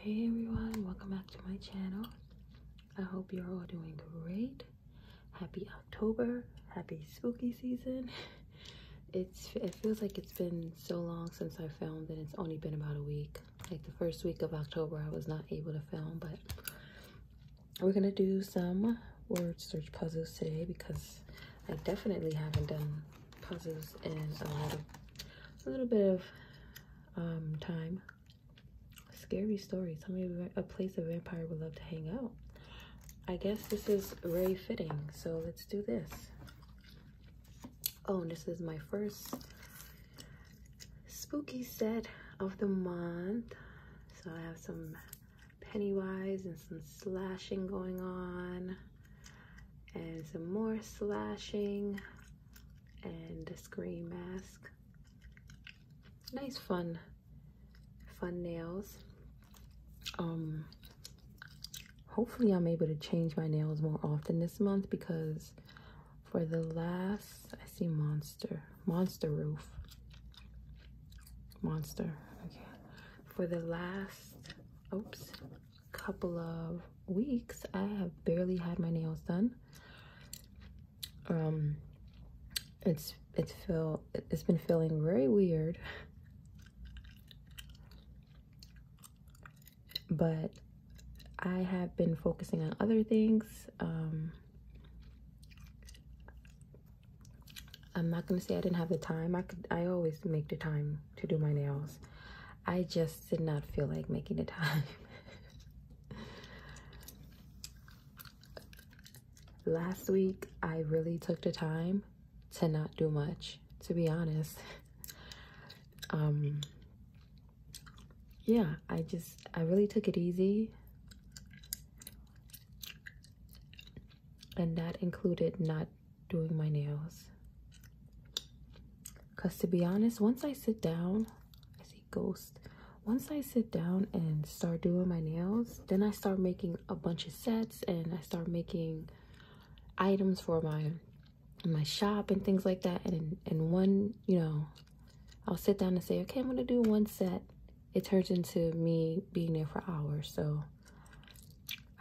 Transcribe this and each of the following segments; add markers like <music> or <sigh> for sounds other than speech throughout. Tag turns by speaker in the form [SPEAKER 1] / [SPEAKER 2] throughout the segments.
[SPEAKER 1] Hey everyone, welcome back to my channel. I hope you're all doing great. Happy October, happy spooky season. <laughs> It feels like it's been so long since I filmed and it's only been about a week. Like the first week of October I was not able to film, but we're gonna do some word search puzzles today because I definitely haven't done puzzles in a little, bit of um, time. Scary stories. Tell me a place a vampire would love to hang out. I guess this is very fitting, so let's do this. Oh, this is my first spooky set of the month. So I have some Pennywise and some slashing going on and some more slashing and a screen mask. Nice fun, fun nails. Um, hopefully I'm able to change my nails more often this month because for the last, I see Monster, Monster Roof. Monster, okay. For the last, oops, couple of weeks i have barely had my nails done um it's it's feel it's been feeling very weird but i have been focusing on other things um i'm not going to say i didn't have the time i could i always make the time to do my nails I just did not feel like making the time. Last week, I really took the time to not do much, to be honest. Um, yeah, I just, I really took it easy. And that included not doing my nails. Because to be honest, once I sit down, I see ghosts. Once I sit down and start doing my nails, then I start making a bunch of sets and I start making items for my my shop and things like that. And and one, you know, I'll sit down and say, okay, I'm gonna do one set. It turns into me being there for hours. So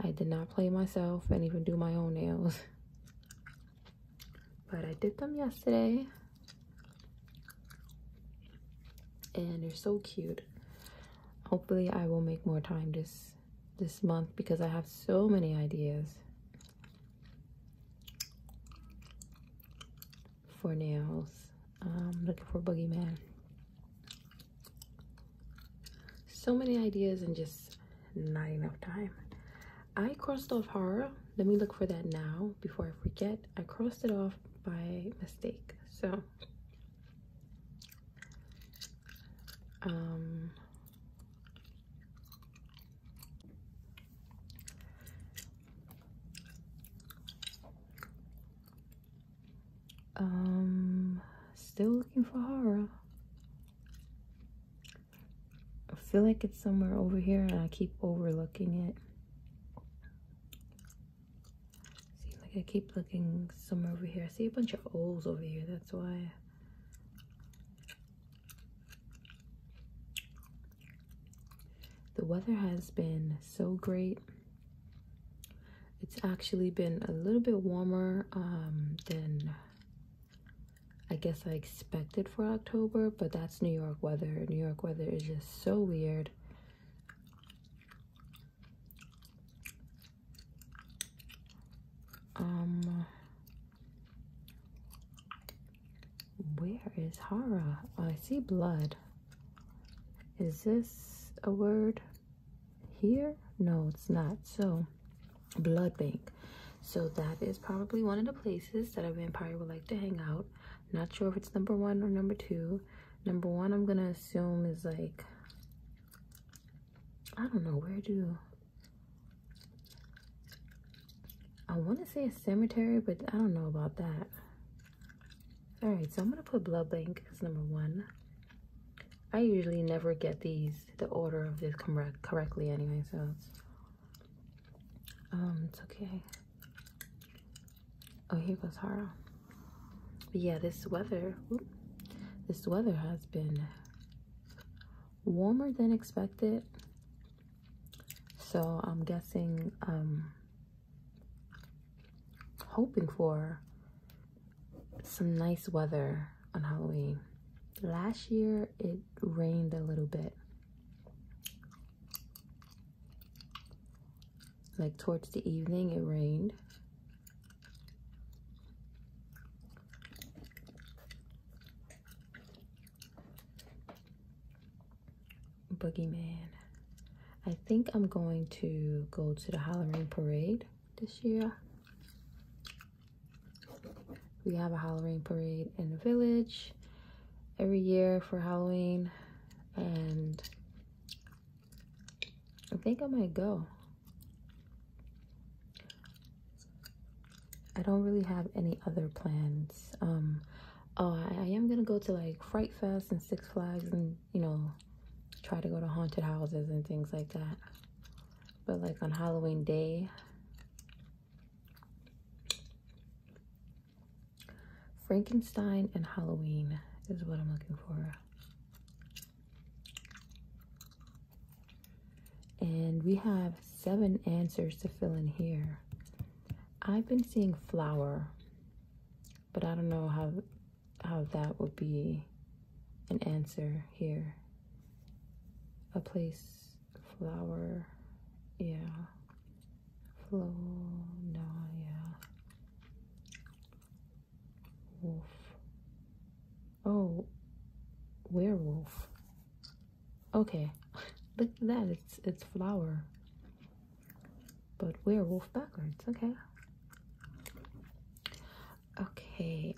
[SPEAKER 1] I did not play myself and even do my own nails. But I did them yesterday. And they're so cute. Hopefully I will make more time this this month because I have so many ideas for nails. I'm looking for Boogeyman so many ideas and just not enough time. I crossed off horror. Let me look for that now before I forget. I crossed it off by mistake. So, um, um still looking for horror. I feel like it's somewhere over here and I keep overlooking it. See, like I keep looking somewhere over here. I see a bunch of O's over here, that's why. The weather has been so great. It's actually been a little bit warmer um, than I guess I expected for October, but that's New York weather. New York weather is just so weird. Um, where is Hara? Oh, I see blood. Is this a word here? No, it's not. So, blood bank so that is probably one of the places that a vampire would like to hang out not sure if it's number one or number two number one i'm gonna assume is like i don't know where do i want to say a cemetery but i don't know about that all right so i'm gonna put blood bank as number one i usually never get these the order of this correct correctly anyway, so um, it's okay. Oh here goes Hara. But yeah, this weather this weather has been warmer than expected. So I'm guessing um hoping for some nice weather on Halloween. Last year it rained a little bit. Like towards the evening it rained. Boogeyman. I think I'm going to go to the Halloween parade this year. We have a Halloween parade in the village every year for Halloween. And I think I might go. I don't really have any other plans. Um, oh, I, I am going to go to like Fright Fest and Six Flags and, you know, try to go to haunted houses and things like that. But like on Halloween day, Frankenstein and Halloween is what I'm looking for. And we have seven answers to fill in here. I've been seeing flower, but I don't know how, how that would be an answer here a place, flower, yeah, flow, no, yeah, wolf, oh, werewolf, okay, <laughs> look at that, it's, it's flower, but werewolf backwards, okay. Okay,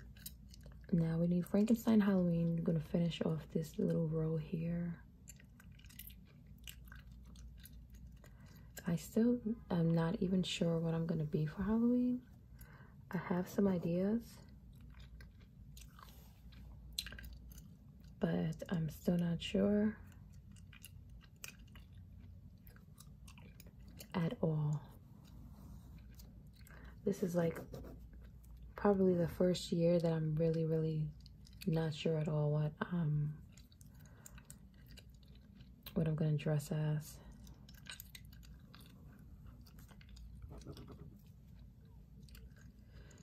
[SPEAKER 1] now we need Frankenstein Halloween. I'm gonna finish off this little row here. I still am not even sure what I'm gonna be for Halloween. I have some ideas, but I'm still not sure at all. This is like probably the first year that I'm really, really not sure at all what um, what I'm gonna dress as.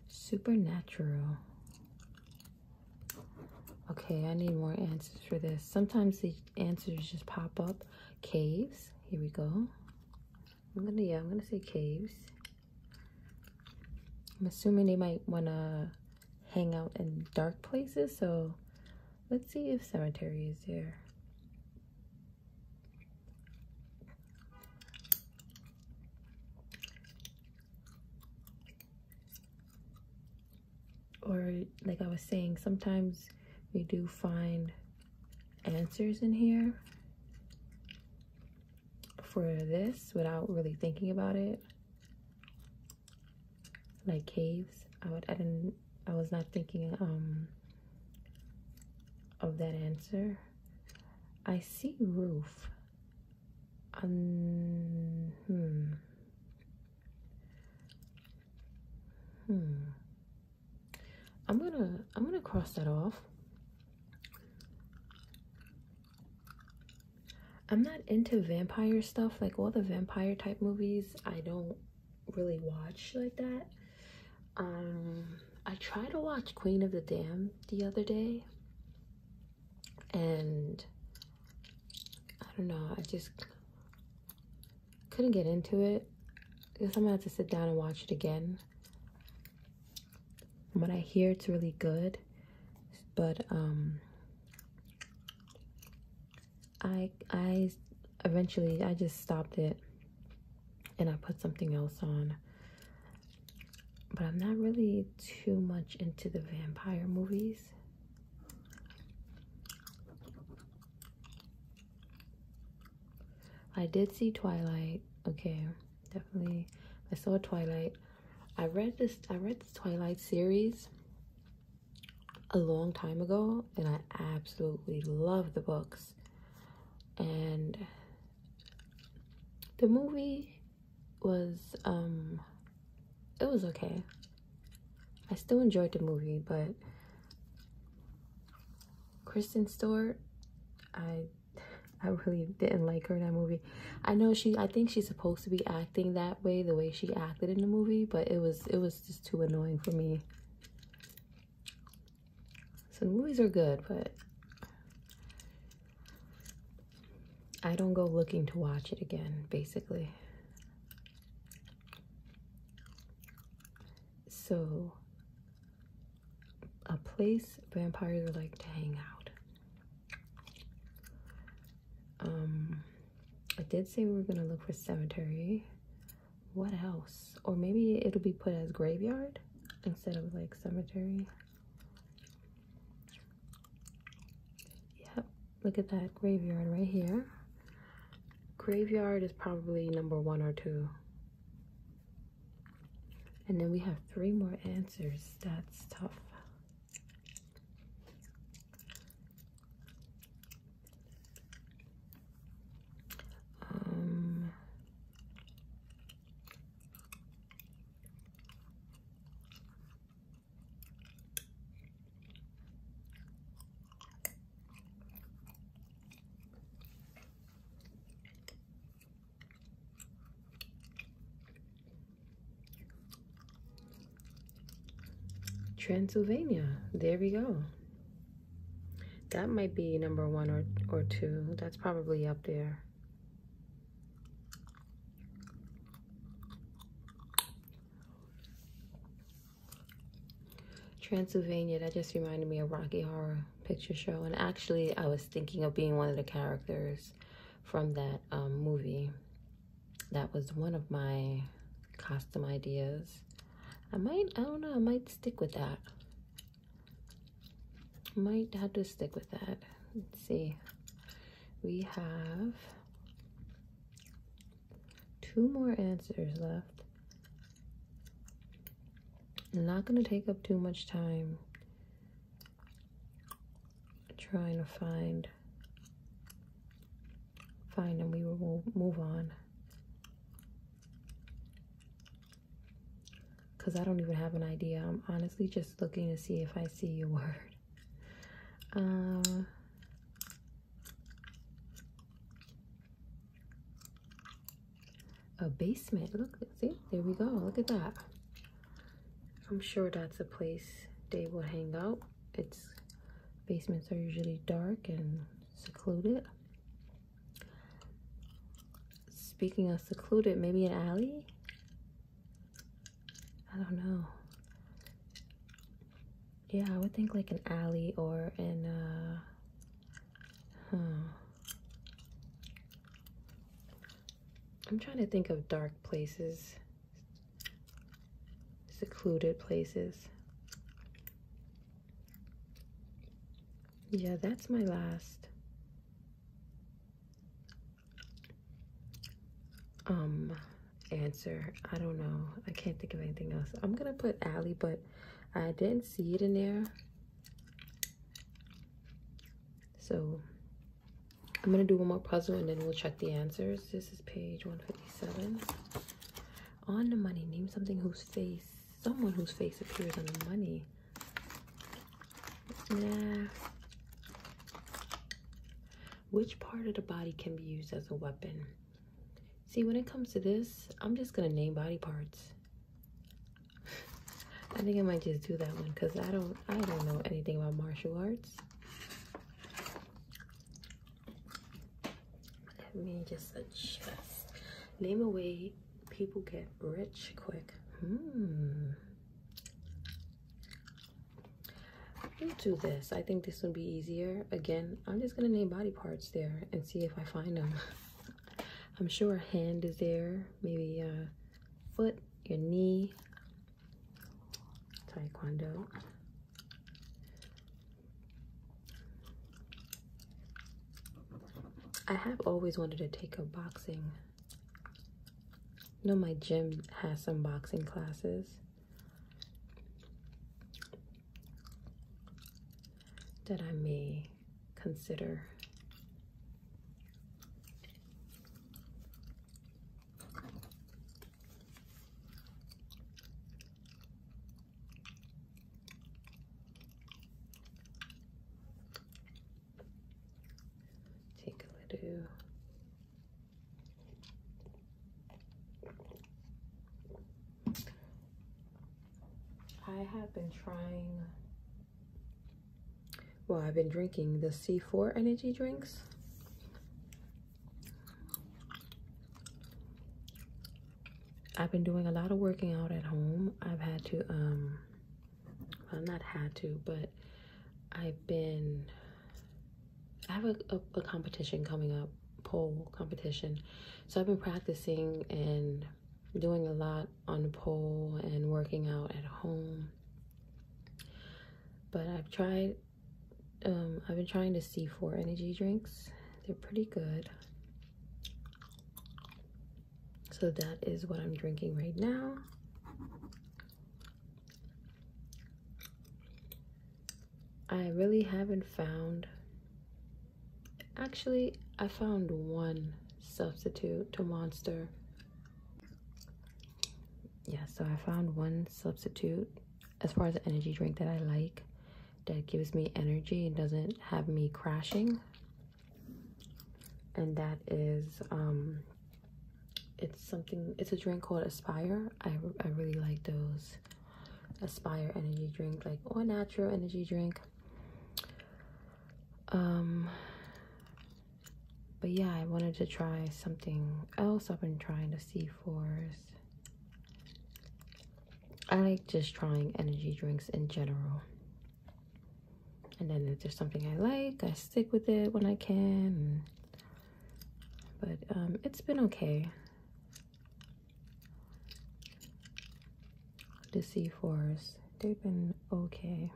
[SPEAKER 1] Supernatural. Okay, I need more answers for this. Sometimes the answers just pop up. Caves, here we go. I'm gonna, yeah, I'm gonna say caves. I'm assuming they might wanna hang out in dark places, so let's see if cemetery is there. Or like I was saying, sometimes we do find answers in here for this without really thinking about it. Like caves, I would I didn't I was not thinking um of that answer. I see roof. Um, hmm. Hmm. I'm gonna I'm gonna cross that off. I'm not into vampire stuff, like all the vampire type movies I don't really watch like that. Um I tried to watch Queen of the Dam the other day and I don't know, I just couldn't get into it. I guess I'm gonna have to sit down and watch it again. From I hear, it's really good, but um, I I eventually I just stopped it, and I put something else on. But I'm not really too much into the vampire movies. I did see Twilight. Okay, definitely. I saw Twilight. I read this. I read the Twilight series a long time ago, and I absolutely love the books. And the movie was um, it was okay. I still enjoyed the movie, but Kristen Stewart, I I really didn't like her in that movie. I know she I think she's supposed to be acting that way, the way she acted in the movie, but it was it was just too annoying for me. So movies are good, but I don't go looking to watch it again, basically. So a place vampires like to hang out. Um, I did say we were gonna look for cemetery. What else? Or maybe it'll be put as graveyard instead of like cemetery. Yep, look at that graveyard right here. Graveyard is probably number one or two. And then we have three more answers. That's tough. Um, Transylvania. There we go. That might be number one or, or two. That's probably up there. Transylvania, that just reminded me of Rocky Horror Picture Show. And actually, I was thinking of being one of the characters from that um, movie. That was one of my costume ideas. I might, I don't know, I might stick with that. Might have to stick with that. Let's see. We have two more answers left. I'm not going to take up too much time trying to find find and We will move on. Because I don't even have an idea. I'm honestly just looking to see if I see a <laughs> word. Uh, a basement. Look, see, there we go. Look at that. I'm sure that's a place they will hang out. It's basements are usually dark and secluded. Speaking of secluded, maybe an alley? I don't know. Yeah, I would think like an alley or an, uh, I'm trying to think of dark places, secluded places. Yeah, that's my last um answer. I don't know. I can't think of anything else. I'm gonna put Ali, but I didn't see it in there. So I'm gonna do one more puzzle and then we'll check the answers. This is page 157. On the money, name something whose face, someone whose face appears on the money. Nah. Which part of the body can be used as a weapon? See, when it comes to this, I'm just gonna name body parts. I think I might just do that one because I don't I don't know anything about martial arts. Let me just adjust. Name a way people get rich quick. Hmm. We'll do this. I think this would be easier. Again, I'm just gonna name body parts there and see if I find them. <laughs> I'm sure hand is there, maybe uh, foot, your knee, taekwondo. I have always wanted to take up boxing. No, my gym has some boxing classes. That I may consider. Take a little I have been trying, well, I've been drinking the C4 energy drinks. I've been doing a lot of working out at home. I've had to, um, well, not had to, but I've been, I have a, a competition coming up, pole competition. So I've been practicing and doing a lot on the pole and working out at home. But I've tried, um, I've been trying to see for energy drinks. They're pretty good. So that is what I'm drinking right now. I really haven't found Actually, I found one substitute to Monster. Yeah, so I found one substitute as far as an energy drink that I like that gives me energy and doesn't have me crashing. And that is, um, it's something, it's a drink called Aspire. I, I really like those Aspire energy drink, like all natural energy drink. Um, but yeah, I wanted to try something else. I've been trying the C4s. I like just trying energy drinks in general. And then if there's something I like, I stick with it when I can. But um, it's been okay the C4s, they've been okay.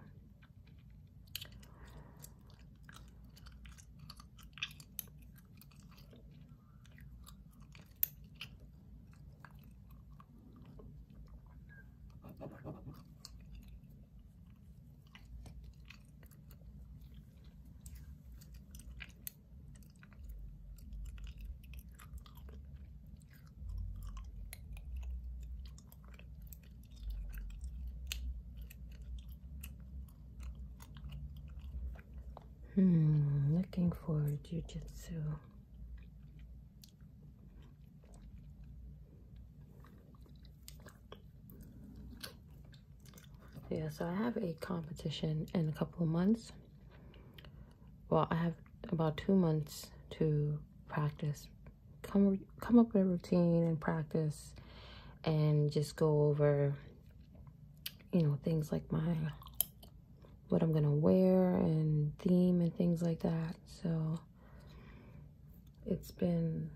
[SPEAKER 1] Hmm, looking for jitsu Yeah, so I have a competition in a couple of months well, I have about two months to practice, come, come up with a routine and practice and just go over, you know, things like my, what I'm going to wear and theme and things like that. So it's been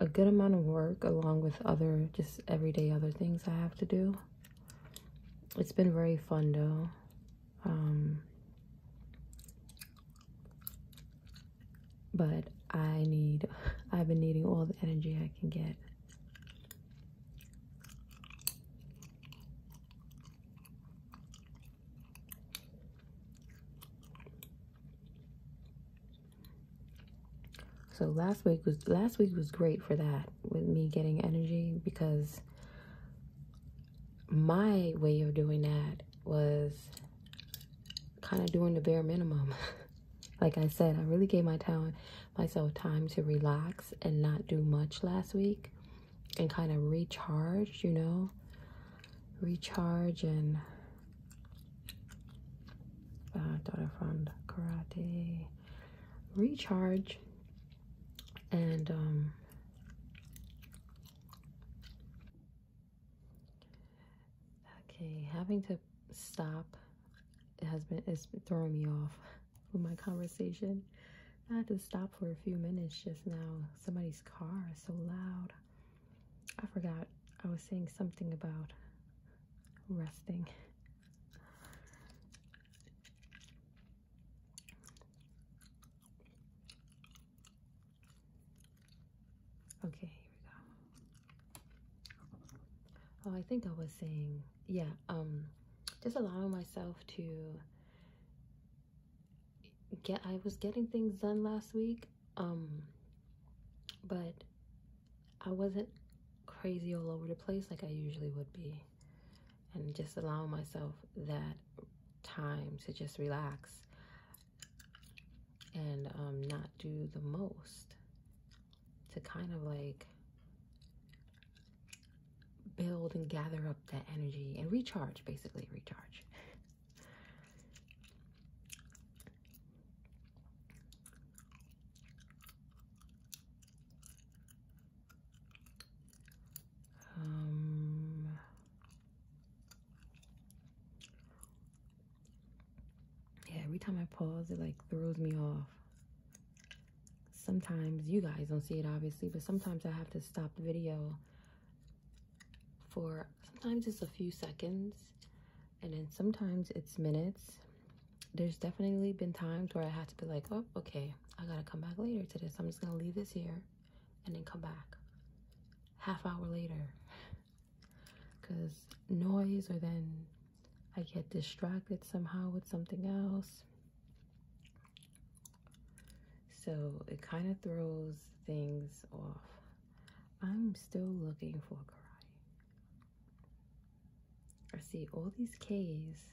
[SPEAKER 1] a good amount of work along with other just everyday other things I have to do. It's been very fun though. Um, but I need, I've been needing all the energy I can get. So last week was last week was great for that with me getting energy because my way of doing that was kind of doing the bare minimum. <laughs> like I said, I really gave my time, myself time to relax and not do much last week and kind of recharge, you know, recharge and uh, daughter from karate recharge and um, okay having to stop it has been it's throwing me off with my conversation i had to stop for a few minutes just now somebody's car is so loud i forgot i was saying something about resting Okay, here we go. Oh, I think I was saying, yeah, um, just allowing myself to get, I was getting things done last week, um, but I wasn't crazy all over the place like I usually would be and just allow myself that time to just relax and um, not do the most to kind of like build and gather up that energy and recharge basically recharge um, yeah, every time I pause, it like throws me off. Sometimes you guys don't see it, obviously, but sometimes I have to stop the video for sometimes it's a few seconds and then sometimes it's minutes. There's definitely been times where I have to be like, oh, okay, I gotta come back later to this. I'm just gonna leave this here and then come back half hour later because <laughs> noise, or then I get distracted somehow with something else. So it kind of throws things off. I'm still looking for karate. I see all these K's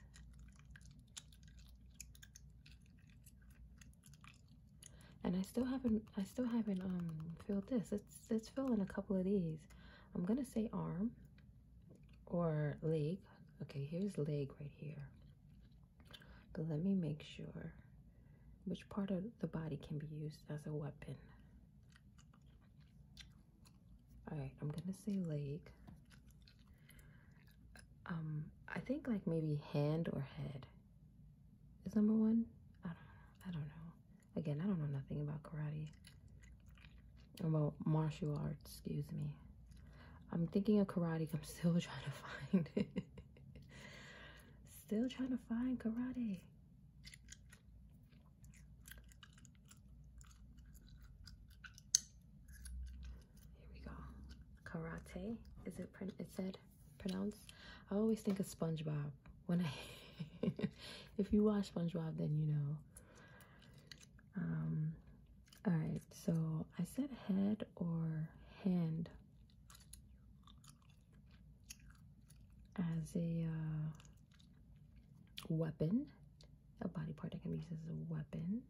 [SPEAKER 1] and I still haven't I still haven't um filled this. Let's let's fill in a couple of these. I'm gonna say arm or leg. Okay, here's leg right here. But let me make sure which part of the body can be used as a weapon. Alright, I'm gonna say leg. Um, I think like maybe hand or head is number one. I don't know. I don't know. Again, I don't know nothing about karate. About martial arts, excuse me. I'm thinking of karate. I'm <laughs> still trying to find still trying to find karate. Here we go. Karate. Is it print? It said "Pronounce." I always think of SpongeBob when I. <laughs> if you watch SpongeBob, then you know. Um. All right. So I said head or hand as a uh, weapon, a body part that can be used as a weapon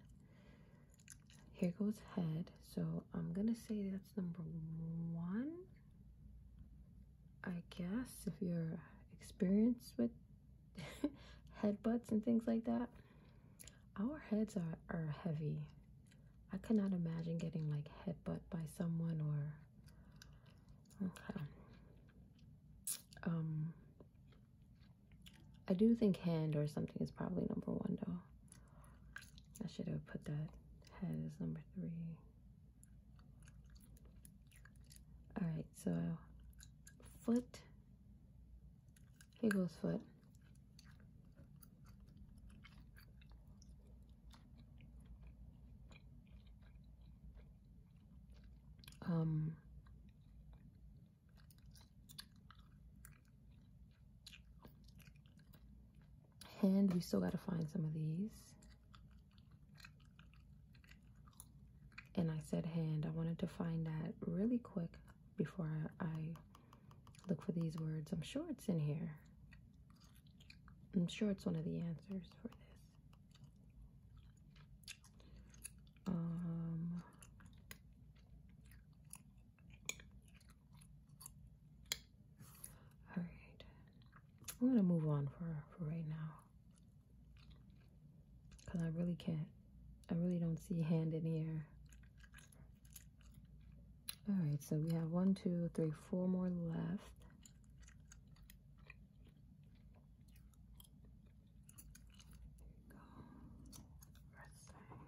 [SPEAKER 1] here goes head. So I'm gonna say that's number one. I guess if you're experienced with <laughs> headbutts and things like that, our heads are, are heavy. I cannot imagine getting like headbutt by someone or okay. Um I do think hand or something is probably number one though. I should have put that head as number three. Alright, so foot. Here goes foot. Um, and we still got to find some of these. And I said hand. I wanted to find that really quick before I look for these words. I'm sure it's in here. I'm sure it's one of the answers for this. Um, all right, I'm gonna move on for for right now, cause I really can't. I really don't see hand in here. All right, so we have one, two, three, four more left go first time touching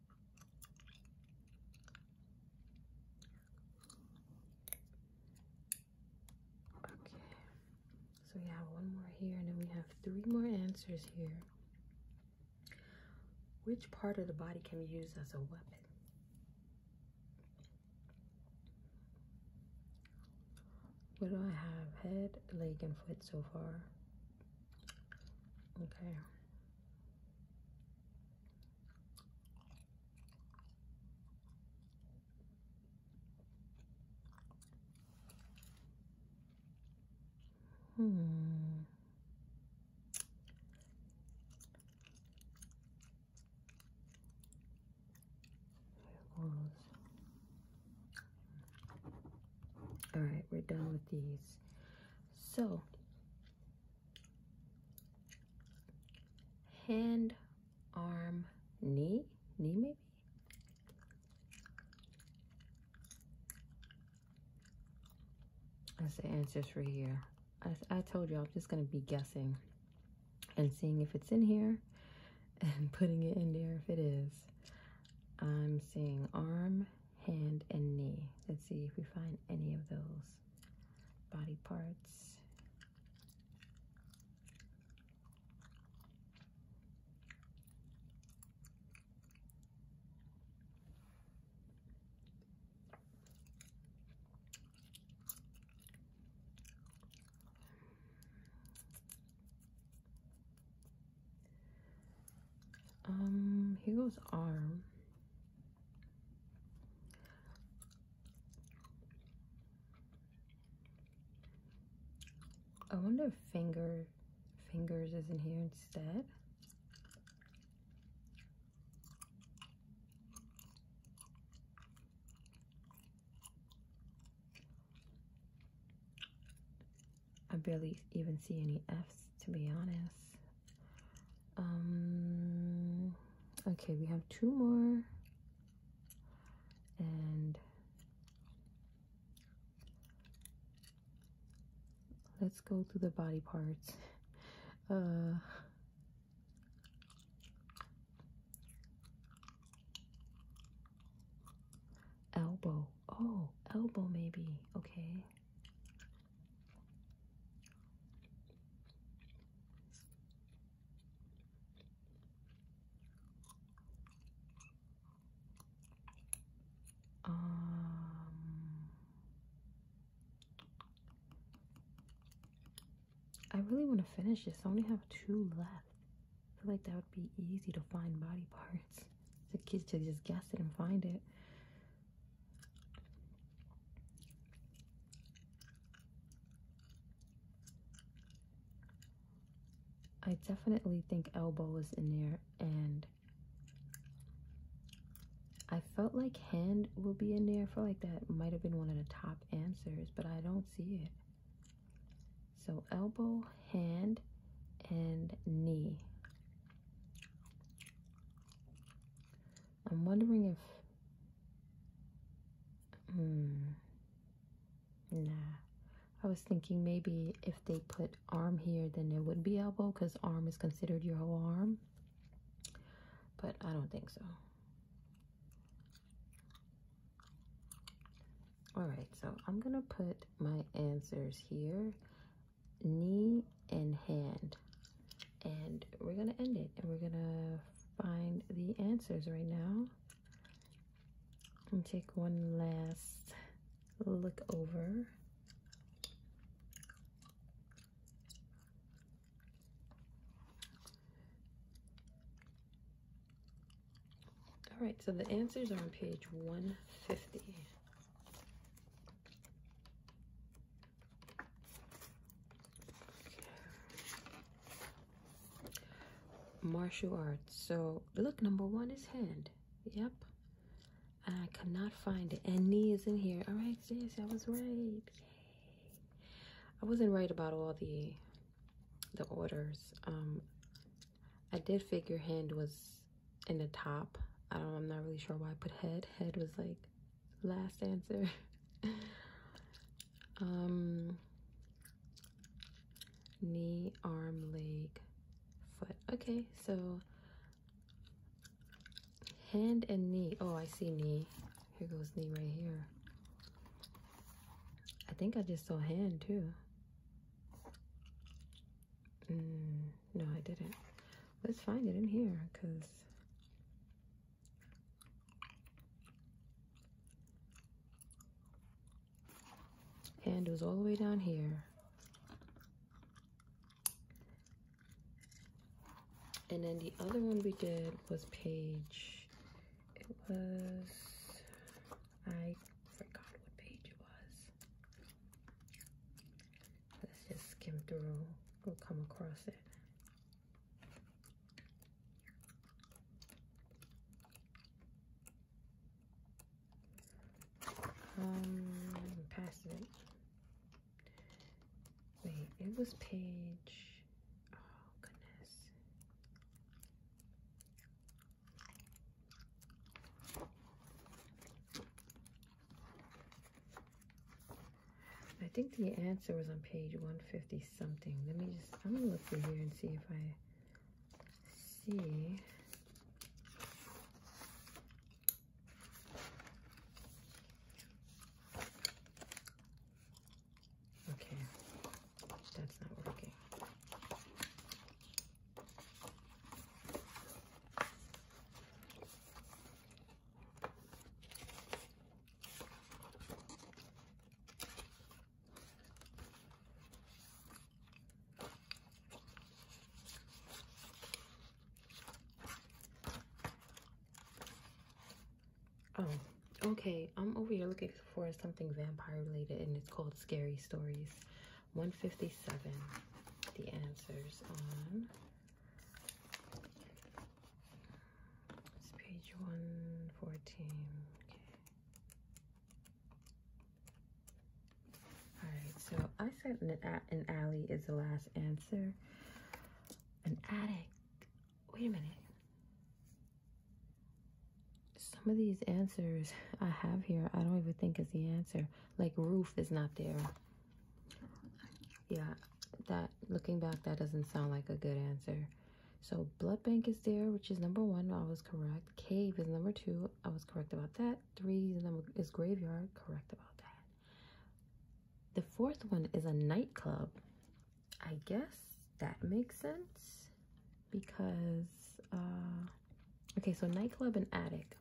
[SPEAKER 1] Okay, so we have one more here, and then we have three more answers here. Which part of the body can be used as a weapon? What do I have? Head, leg, and foot so far. Okay. Hmm. All right, we're done with these. So hand, arm, knee, knee maybe? That's the for here. I, I told you I'm just going to be guessing and seeing if it's in here <laughs> and putting it in there if it is. I'm seeing arm, hand, and knee. Let's see if we find any of those body parts. Um, here goes arm. I wonder if finger fingers is in here instead. I barely even see any F's to be honest. Um, okay, we have two more. And let's go to the body parts. <laughs> Uh, elbow. Oh, elbow maybe. Okay. Um, I really want to finish this. I only have two left. I feel like that would be easy to find body parts. <laughs> The kids to just guess it and find it. I definitely think elbow is in there and I felt like hand will be in there. I feel like that might have been one of the top answers, but I don't see it. So elbow, hand, and knee. I'm wondering if. Hmm, nah. I was thinking maybe if they put arm here, then there would be elbow because arm is considered your whole arm. But I don't think so. All right, so I'm gonna put my answers here knee and hand and we're gonna end it and we're gonna find the answers right now and take one last look over all right so the answers are on page 150 Martial arts. So look, number one is hand. Yep. I cannot find it. And knee is in here. All right, yes, I was right. I wasn't right about all the the orders. Um, I did figure hand was in the top. I don't, I'm not really sure why I put head. Head was like last answer. <laughs> um, knee, arm, leg, foot. Okay, so hand and knee. Oh, I see knee. Here goes knee right here. I think I just saw hand too. Mm. No, I didn't. Let's find it in here because and it was all the way down here. And then the other one we did was page, it was, I forgot what page it was. Let's just skim through, we'll come across it. Um, past it. Wait, it was page. Oh goodness. I think the answer was on page 150 something. Let me just, I'm gonna look through here and see if I see. Okay, that's not working. Oh, okay. I'm over here looking for something vampire related, and it's called Scary Stories. 157. The answers on it's page 114. Okay. All right, so I said an, an alley is the last answer. An addict. Wait a minute. Some of these answers I have here, I don't even think is the answer. Like roof is not there. Yeah, that looking back that doesn't sound like a good answer so blood bank is there which is number one i was correct cave is number two i was correct about that three is, number, is graveyard correct about that the fourth one is a nightclub i guess that makes sense because uh, okay so nightclub and attic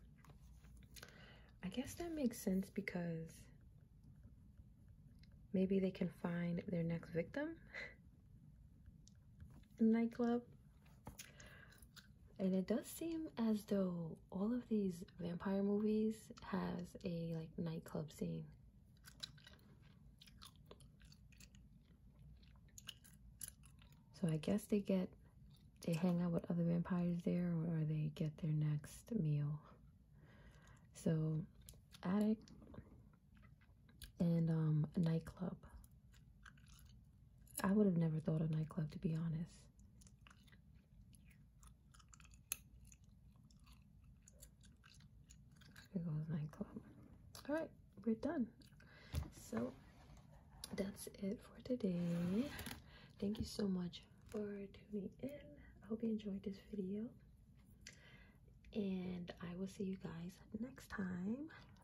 [SPEAKER 1] i guess that makes sense because Maybe they can find their next victim <laughs> in the nightclub. And it does seem as though all of these vampire movies has a like nightclub scene. So I guess they get, they hang out with other vampires there or they get their next meal. So, attic and um, nightclub. I would have never thought a nightclub to be honest. Here nightclub. All right, we're done. So that's it for today. Thank you so much for tuning in. I hope you enjoyed this video. And I will see you guys next time.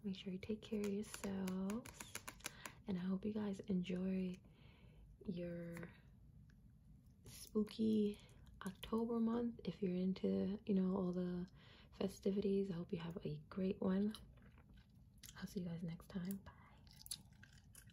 [SPEAKER 1] Make sure you take care of yourselves. And I hope you guys enjoy your spooky October month. If you're into, you know, all the festivities, I hope you have a great one. I'll see you guys next time. Bye.